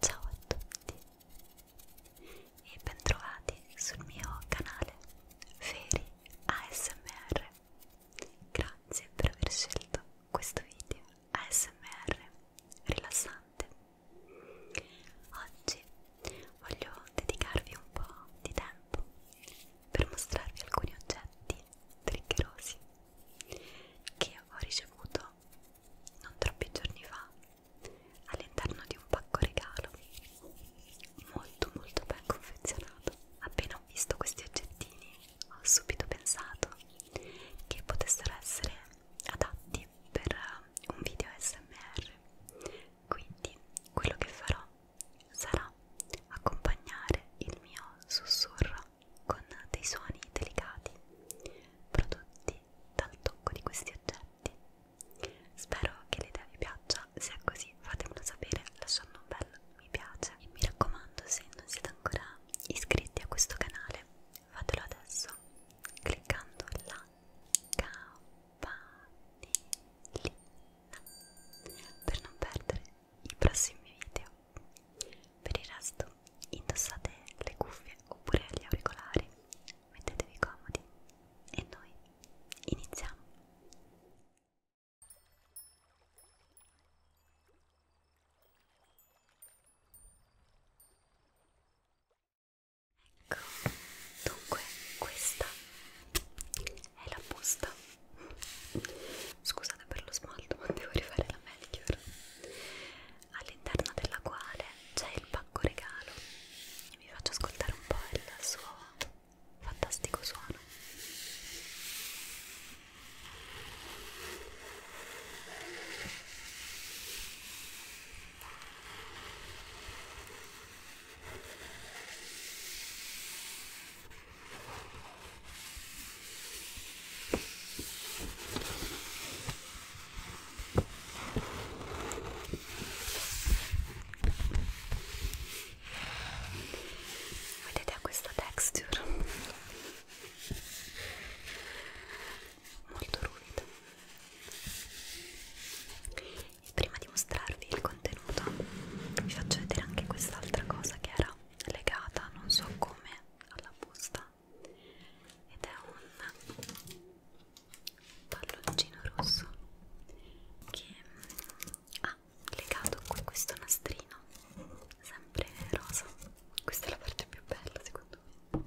Ciao a tutti e bentrovati sul mio canale Feri ASMR. Grazie per aver scelto questo video ASMR rilassante. Oggi voglio dedicarvi un po' di tempo per mostrarvi alcuni oggetti triggerosi che ho ricevuto non troppi giorni fa all'interno di un pacco regalo molto molto ben confezionato appena ho visto questi oggettini ho subito pensato che potessero essere adatti per eh, un video smr quindi quello che farò sarà accompagnare il mio sussurro con dei suoni delicati prodotti dal tocco di questi oggetti. Spero che l'idea vi piaccia, se è così fatemelo sapere lasciando un bel mi piace e mi raccomando se non siete ancora iscritti a questo canale fatelo adesso cliccando la campanellina per non perdere i prossimi video. Per il resto indossate le cuffie oppure gli auricolari, mettetevi comodi e noi iniziamo. Ecco, dunque questa è la busta Scusate per lo smalto, ma devo rifare la manicure. All'interno della quale c'è il pacco regalo. Vi faccio ascoltare un po' il suo fantastico suono. Vedete ha questa texture molto ruvida. E prima di mostrarvi il contenuto vi faccio vedere anche quest'altra cosa che era legata non so come alla busta ed è un palloncino rosso che mm, ha ah, legato qui questo nastrino sempre rosa questa è la parte più bella secondo me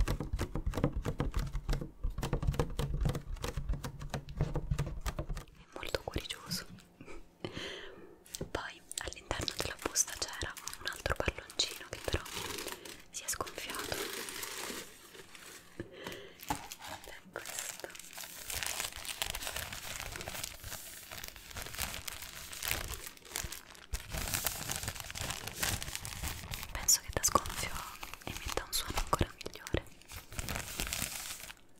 è molto curioso poi all'interno della busta c'era un altro palloncino che però si è sgonfiato. È ecco questo. Penso che da sgonfio emetta un suono ancora migliore.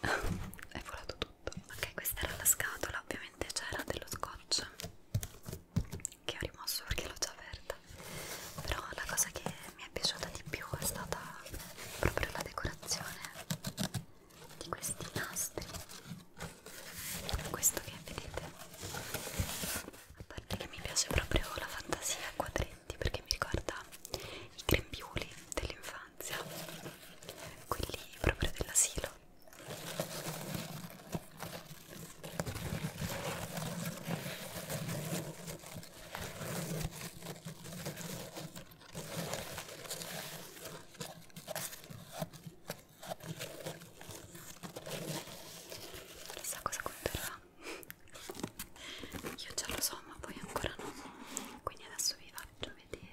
è volato tutto ok questa era la scatola ovviamente c'era dello scotch che ho rimosso perché l'ho già aperta però la cosa che mi è piaciuta di più è stata proprio la decorazione di questi nastri questo che vedete a parte che mi piace proprio la fantasia a quadretti perché mi ricorda i grembiuli dell'infanzia quelli proprio dell'asilo Chissà cosa conterrà. Io già lo so, ma voi ancora no. Quindi adesso vi faccio vedere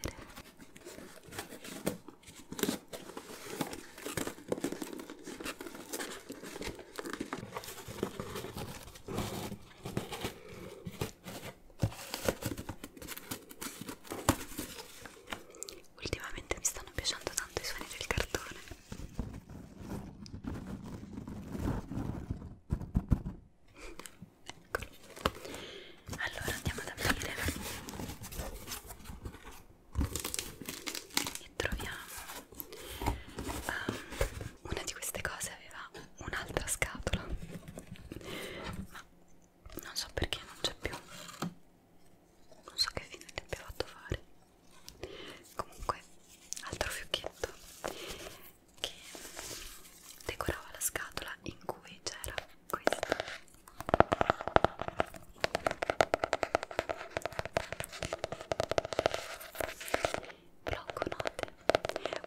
ultimamente mi stanno piacendo tanto i suoni del cartone ecco. allora andiamo ad aprire e troviamo um, una di queste cose aveva un'altra scatola ma non so perché non c'è più non so che fine ti abbia fatto fare comunque altro fiocchetto che decorava la scatola in cui c'era questo blocco note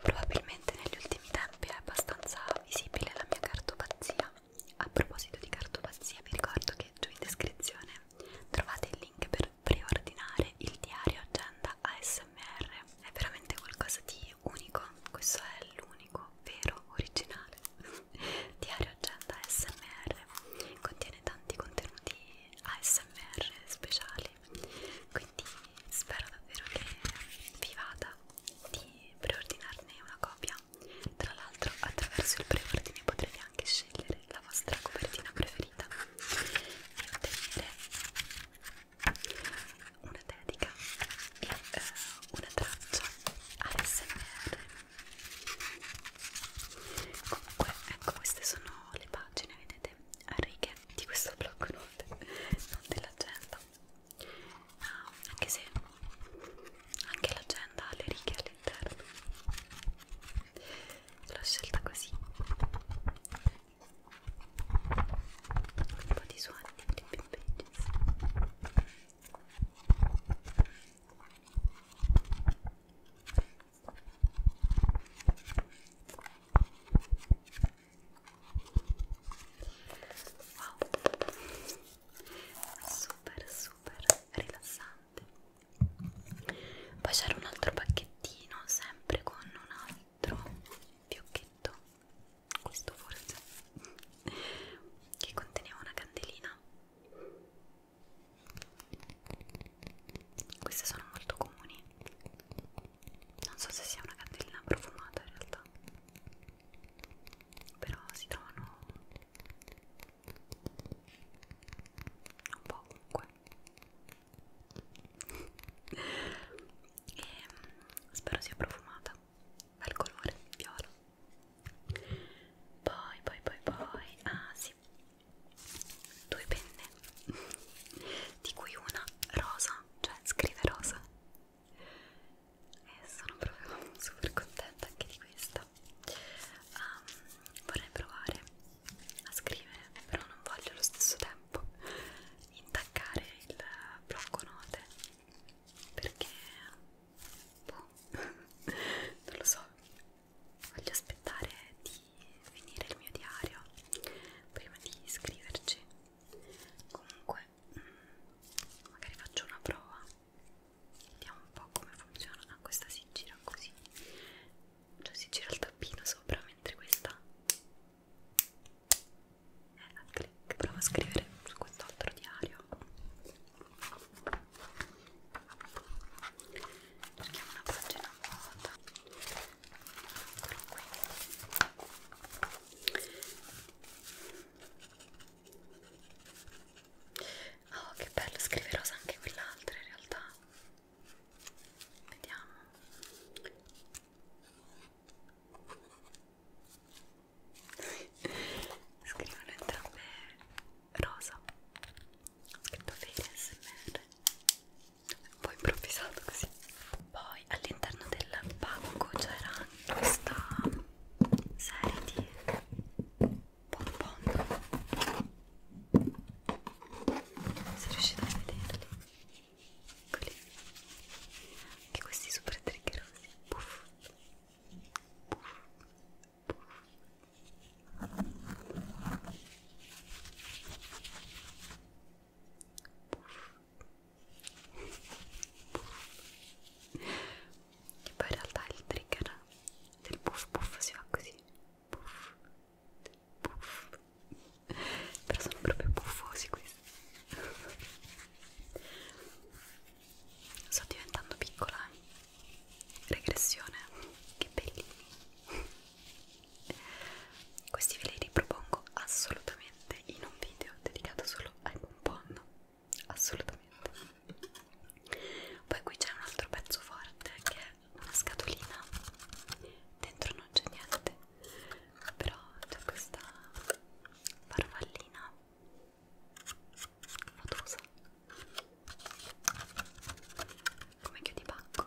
probabilmente negli ultimi tempi è abbastanza visibile la mia cartopazia a proposito di cartopazia vi ricordo che giù in descrizione trovate il link per preordinare il diario agenda ASMR è veramente qualcosa di unico questo è l'unico vero originale diario agenda ASMR contiene tanti contenuti ASMR speciali quindi spero davvero che vi vada di preordinarne una copia. Tra l'altro, attraverso il preordine potrete anche scegliere la vostra copertina preferita e ottenere una dedica e eh, una traccia ASMR. Comunque, ecco, queste sono le pagine, vedete, a righe di questo blog note, non dell'agenda realtà anche se anche l'agenda ha le righe all'interno l'ho scelta così un po' di suoni wow super super rilassante poi c'era un altro pacchettino sempre con un altro fiocchetto questo forse che conteneva una candelina queste sono molto comuni non so se sia una candelina profumata in realtà però si trovano un po' ovunque e mm, spero sia profumata dal colore viola poi poi poi poi ah sì due penne di cui una rosa cioè scrive rosa e eh, sono proprio super contenta anche di questa um, ehm, vorrei provare a scrivere però non voglio allo stesso tempo intaccare il blocco note perché boh, non lo so voglio aspettare di finire il mio diario prima di iscriverci comunque vabbè magari faccio una prova vediamo un po' come funziona ah, questa si gira così cioè si gira il tappino sopra mentre questa è a click provo a scrivere su quest'altro diario cerchiamo una pagina vuota eccolo qui Oh, che bello, scrive rosa anche quell'altra in realtà. Vediamo. Scrivono entrambe rosa. Ho scritto fede smr un po' improvvisato così poi all'interno del pacco c'era questa serie di bonbon non si riuscite a vederli eccoli anche questi super triggerosi puff puff puff che poi in realtà il trigger del puff puff si fa così puff puff però sono proprio buffosi questi sto diventando piccola eh. regressione che bellini questi ve li ripropongo assolutamente in un video dedicato solo ai bonbon. Assolutamente. Poi qui c'è un altro pezzo forte che è una scatolina. Dentro non c'è niente, però c'è questa farfallina nodosa come chiudi pacco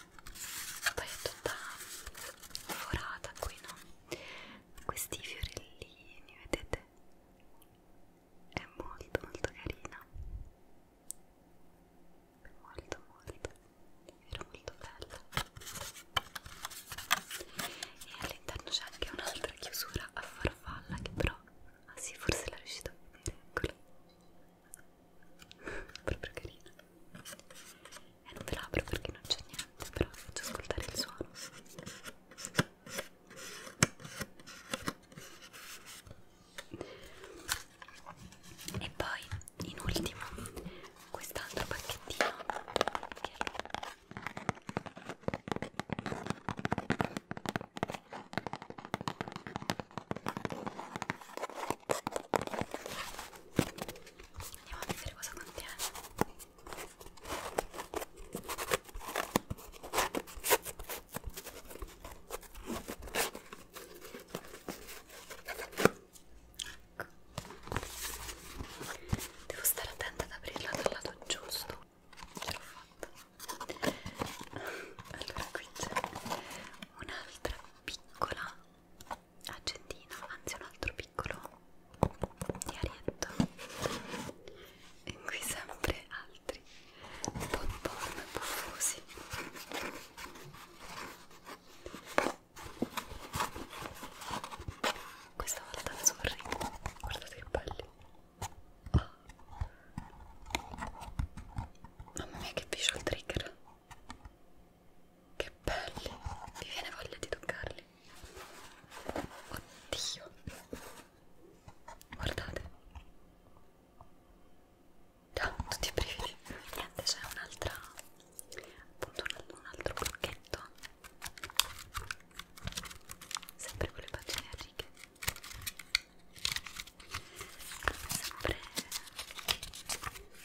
poi è tutta forata qui no questi fiorellini vedete è molto molto carina molto molto era molto bella e all'interno c'è anche un'altra chiusura a farfalla che però ah sì forse la riuscito a vedere eccola proprio carina e eh, non ve l'apro perché non c'è niente però vi faccio ascoltare il suono e poi in ultimo quest'altro pacchettino che è Andiamo a vedere cosa contiene. Ecco. Devo stare attenta ad aprirla dal lato giusto. Ce l'ho fatta. Allora qui c'è un'altra piccola accendino, anzi un altro piccolo diarietto in cui sempre altri bonbon buffosi questa volta sorrido, guardate che belli oh. mamma mia che visual trigger che belli, mi viene voglia di toccarli. Oddio, guardate. Ciao, oh, tutti i brividi. Niente, c'è un'altra, appunto un, un altro blocchetto. Sempre con le pagine a righe. Sempre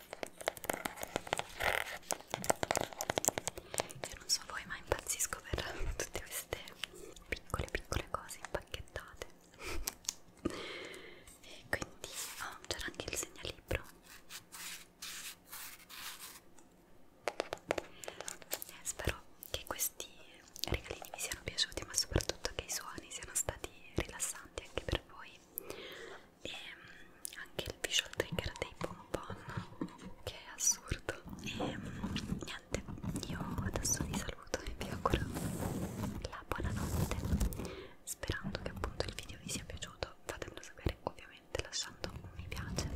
Io non so voi ma impazzisco per tutte queste piccole piccole cose impacchettate e quindi oh, c'era anche il segnalibro eh, spero che questi regalini vi siano piaciuti ma soprattutto che i suoni siano stati rilassanti anche per voi e ehm, anche il visual trigger dei bonbon che è assurdo e ehm, niente io adesso vi saluto e vi auguro la buonanotte sperando che appunto il video vi sia piaciuto fatemelo sapere ovviamente lasciando un mi piace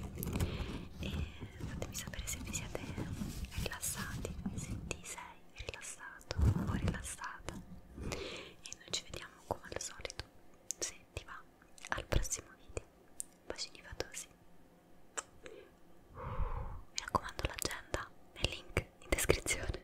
e fatemi sapere se vi siete rilassati se ti sei rilassato o rilassata e noi ci vediamo come al solito se ti va al prossimo video bacini fatosi mi raccomando l'agenda nel link in descrizione